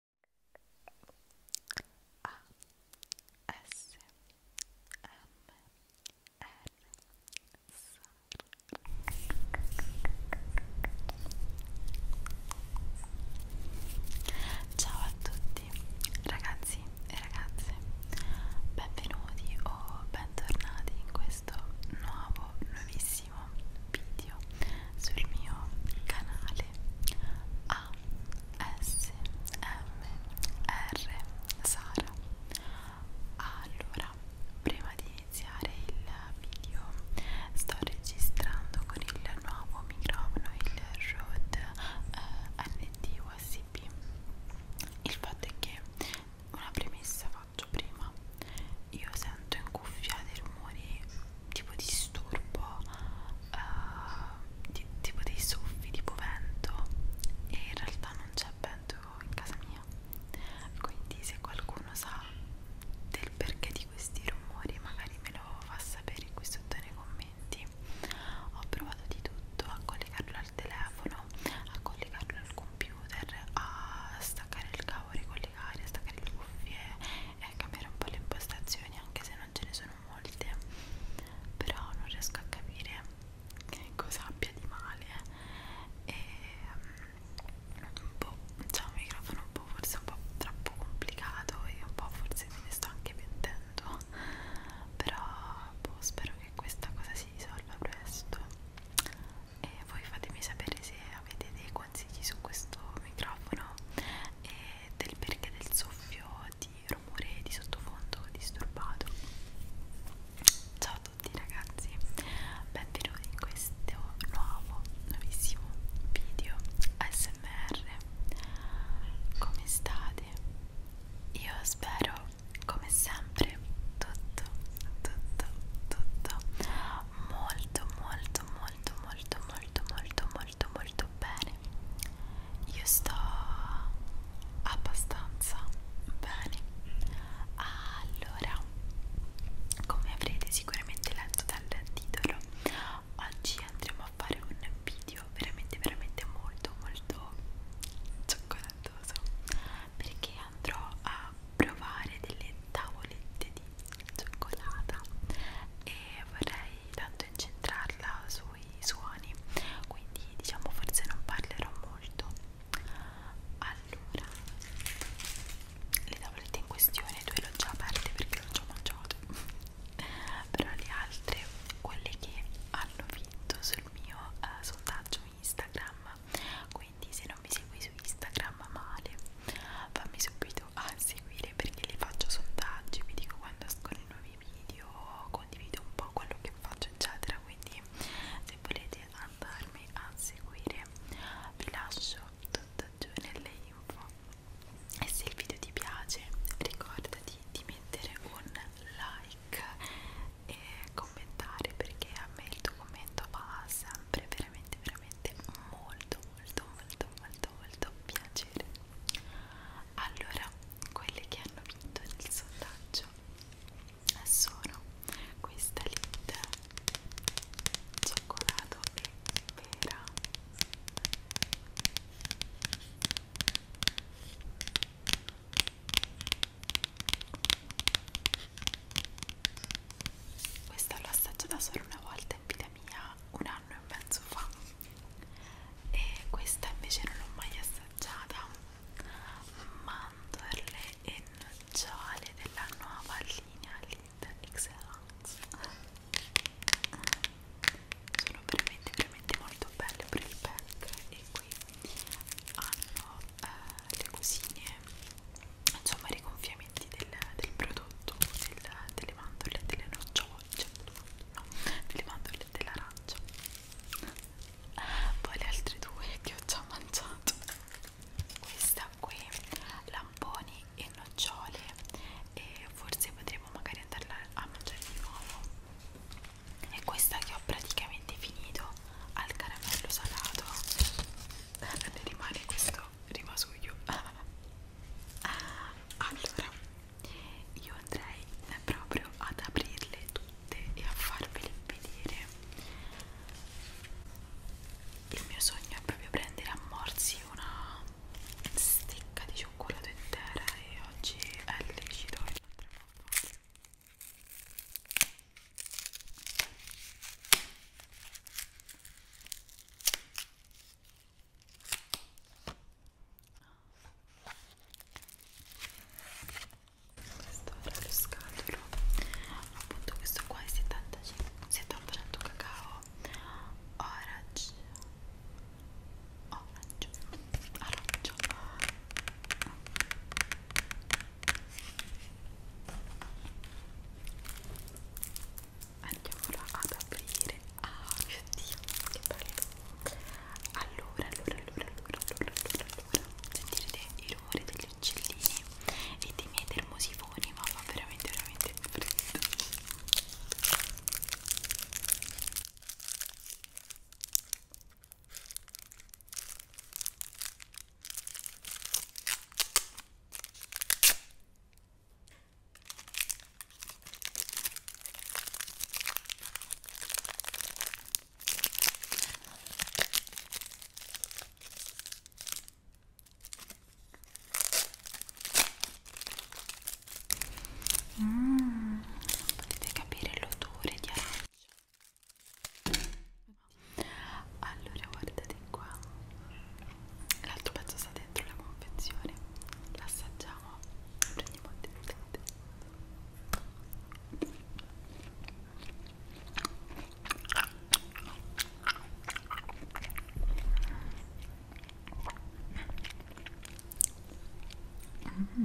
A S M R S Ciao a tutti ragazzi e ragazze benvenuti o bentornati in questo nuovo nuovissimo video video sul mio canale ASMR Sara allora prima di iniziare il video sto registrando con il nuovo microfono il Rode eh, ND USB il fatto è che una premessa faccio prima io sento in cuffia dei rumori tipo disturbo, uh, di, tipo dei soffi, tipo vento e in realtà non c'è vento in casa mia quindi se qualcuno sa del perché di questi rumori magari me lo fa sapere qui sotto nei commenti ho provato di tutto a collegarlo al telefono a collegarlo al computer a staccare il cavo ricollegare a staccare le cuffie eh, e cambiare un po' le impostazioni anche se non ce ne sono molte però non riesco a capire che cosa abbia di male eh. e un mm, po' boh, c'è un microfono un po' forse un po' troppo complicato e un po' forse me ne sto anche pentendo però boh, spero che questa cosa si risolva presto e voi fatemi sapere se avete dei consigli su questo microfono e del perché del soffio di rumore di sottofondo disturbato ciao a tutti ragazzi benvenuti in questo nuovo nuovissimo video smr come state io spero come sempre tutto tutto tutto va molto molto molto molto molto molto molto molto bene io sto abbastanza bene allora come avrete sicuramente letto dal titolo oggi andremo a fare un video veramente veramente molto molto cioccolatoso perché andrò a provare delle tavolette di cioccolata e vorrei tanto incentrarla sui suoni quindi diciamo forse non parlerò molto allora le tavolette in questione due le ho già aperte perché le ho già mangiate però le altre quelle che hanno vinto sul mio uh, sondaggio Instagram quindi se non mi segui su Instagram male fammi subito invito a seguire perché li faccio sondaggi, vi dico quando escono i nuovi video, condivido un po' quello che faccio eccetera, quindi se volete andarmi a seguire vi lascio tutto giù nelle info e se il video ti piace ricordati di mettere un like e commentare perché a me il tuo commento fa sempre veramente veramente molto molto molto molto molto piacere allora quelle che hanno vinto nel sondaggio sono questa Linda cioccolato e pera questa l'ho assaggiata solo una volta in vita mia un anno e mezzo fa e questa invece non l'ho mai assaggiata mandorle e nocciole della nuova linea Lidl Excellence sono veramente veramente molto belle per il pack e qui hanno eh, le cosine insomma i rigonfiamenti del, del prodotto del, delle mandorle delle noccioce no, delle mandorle dell'arancia poi le altre due che ho già mangiato questa qui lamponi e nocciole e forse potremo magari andarla a mangiare di nuovo e questa che ho praticamente finito al caramello salato ne rimane questo solito rimasuglio allora io andrei proprio ad aprirle tutte e a farvele vedere il mio sogno è proprio prendere a morsi una stecca di cioccolato intera e oggi è lecito questo era lo scatolo appunto questo qua è 70% 70 cacao orange orange arancio andiamola ad aprire ah mio dio che bello allora allora allora allora allora allora, allora. sentirete il rumore degli uccellini e dei miei termosifoni ma fa veramente veramente freddo Mm, potete capire l'odore di arancia allora guardate qua l'altro pezzo sta dentro la confezione l'assaggiamo prendiamo il dente Mm.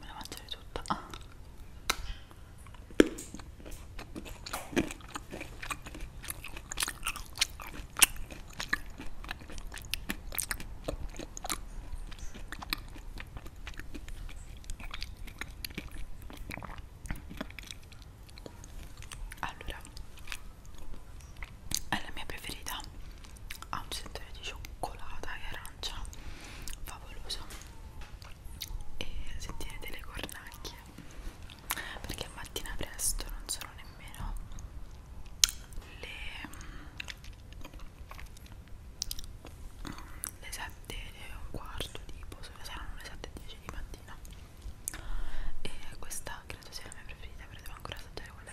me la mangerei tutta ah. Allora, è la mia preferita. Ha un sentore di cioccolata che era d'arancia favoloso e sentire delle cornacchie perché a mattina presto non sono nemmeno le, mm, le 7 e un quarto tipo saranno le 7 e 10 di mattina e questa credo sia la mia preferita però devo ancora assaggiare quella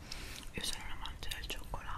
io sono un amante del cioccolato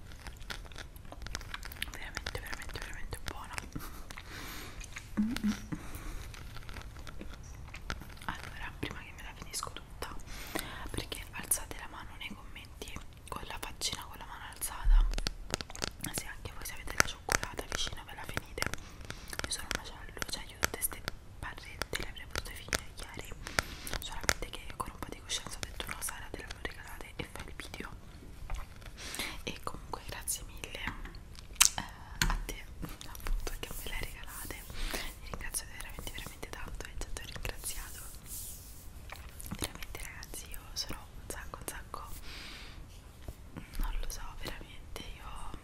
veramente veramente veramente buona mm -mm. allora prima che me la finisco tutta perché alzate la mano nei commenti con la faccina con la mano alzata se anche voi se avete la cioccolata vicino ve la finite io sono un macello cioè io tutte queste barrette le avrei potute finire ieri solamente che con un po' di coscienza ho detto no Sara te l'hanno regalata e fai il video e comunque grazie mille eh, a te appunto che me le hai regalate vi ringrazio veramente veramente tanto e tanto ringraziato veramente ragazzi io sono un sacco un sacco non lo so veramente io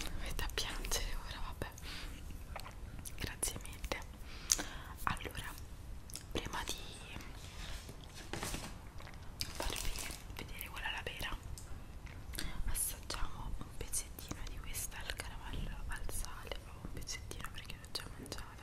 mi metto a piangere ora vabbè vabbè grazie mille allora prima di farvi vedere quella la vera assaggiamo un pezzettino di questa al caramello al sale o oh, un pezzettino perché l'ho già mangiata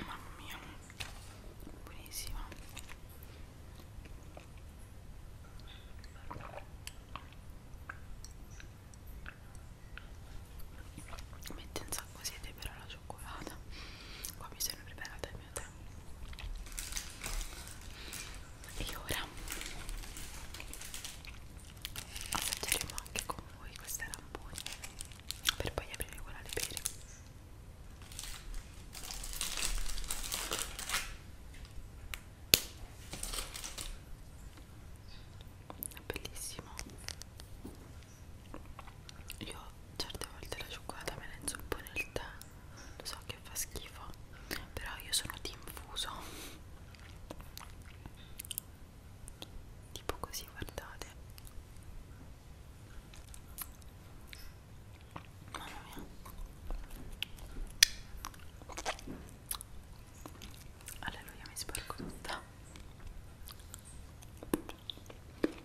Mamma mia, buonissima. Mette un sacco sete però la cioccolata qua mi sono preparata il mio tè e ora assaggeremo anche con voi questa rampone per poi aprire quella di bere è bellissimo io certe volte la cioccolata me la inzuppo nel tè lo so che fa schifo però io sono team fuso tipo così guardate mamma mia alleluia mi sporco tutta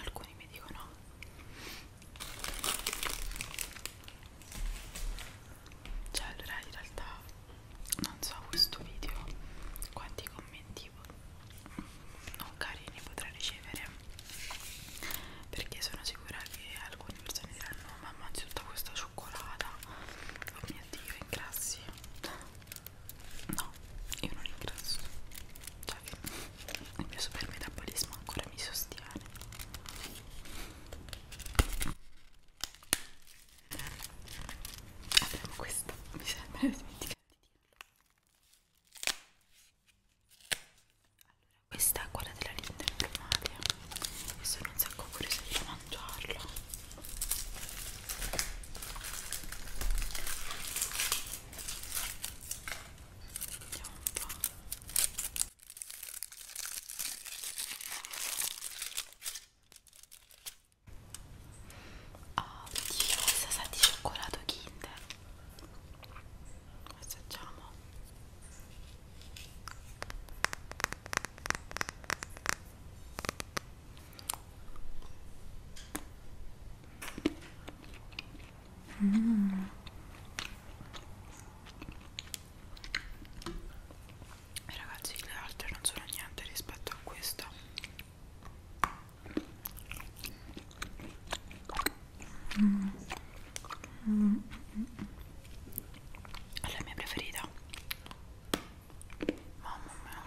alcuni mi dicono cioè allora in realtà non so questo video quanti commenti non carini potrà ricevere perché sono sicura che alcune persone diranno mamma c'è tutta questa cioccolata oh mio dio ingrassi no io non ingrasso cioè che il mio super metabolismo ancora mi sostiene avremo questo mi sembra dimenticato allora questa è quella della linda normale e sono un sacco curiosa di mangiarlo vediamo un po' ah, oddio questa sa di cioccolato kinder assaggiamo Mm. Ragazzi, le altre non sono niente rispetto a questa. Mm. Mm. mm, mm, mm è la mia preferita mamma mia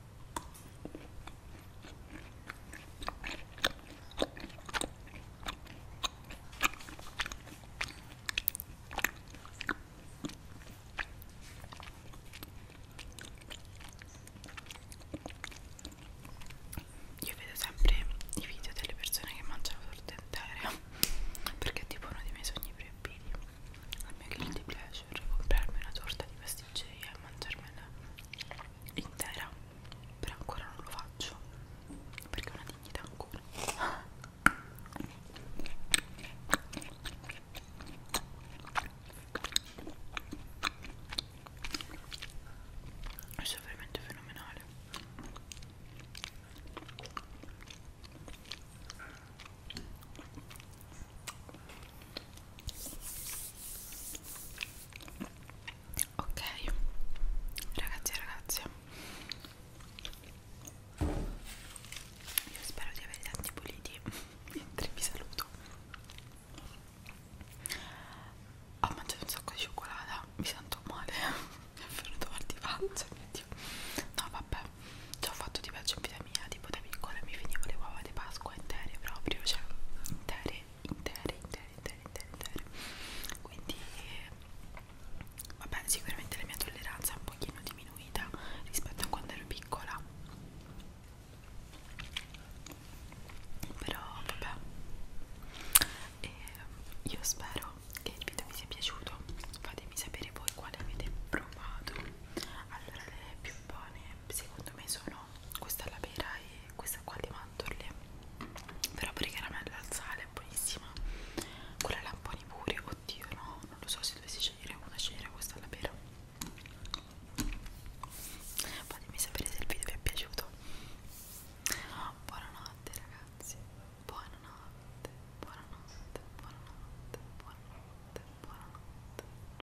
Io vedo sempre i video delle persone che mangiano torte intere perché è tipo uno dei miei sogni proibiti. Al mio guilty pleasure, comprarmi una torta di pasticceria e mangiarmela intera però ancora non lo faccio perché è una dignità ancora questo è veramente fenomenale ok ragazzi e ragazze io spero di averli tanti puliti mentre vi saluto ho mangiato un sacco di cioccolata mi sento male mi è venuto mal di pancia mio Dio. no vabbè ci ho fatto di peggio in vita mia tipo da piccola mi finivo le uova di Pasqua acqua intere proprio, cioè intere, intere, intere, intere, intere, intere. Quindi vabbè, sicuramente la mia tolleranza è un pochino diminuita rispetto a quando ero piccola. Però vabbè. E io spero che il video vi sia piaciuto. Fatemi sapere voi quale avete provato. Allora le più buone secondo me sono questa alla pera e questa qua di mandorle però per caramella al sale è buonissima quella alla lamponi pure oddio no non lo so se dovessi scegliere una scegliere questa alla pera fatemi sapere se il video vi è piaciuto buonanotte ragazzi buonanotte buonanotte buonanotte buonanotte buonanotte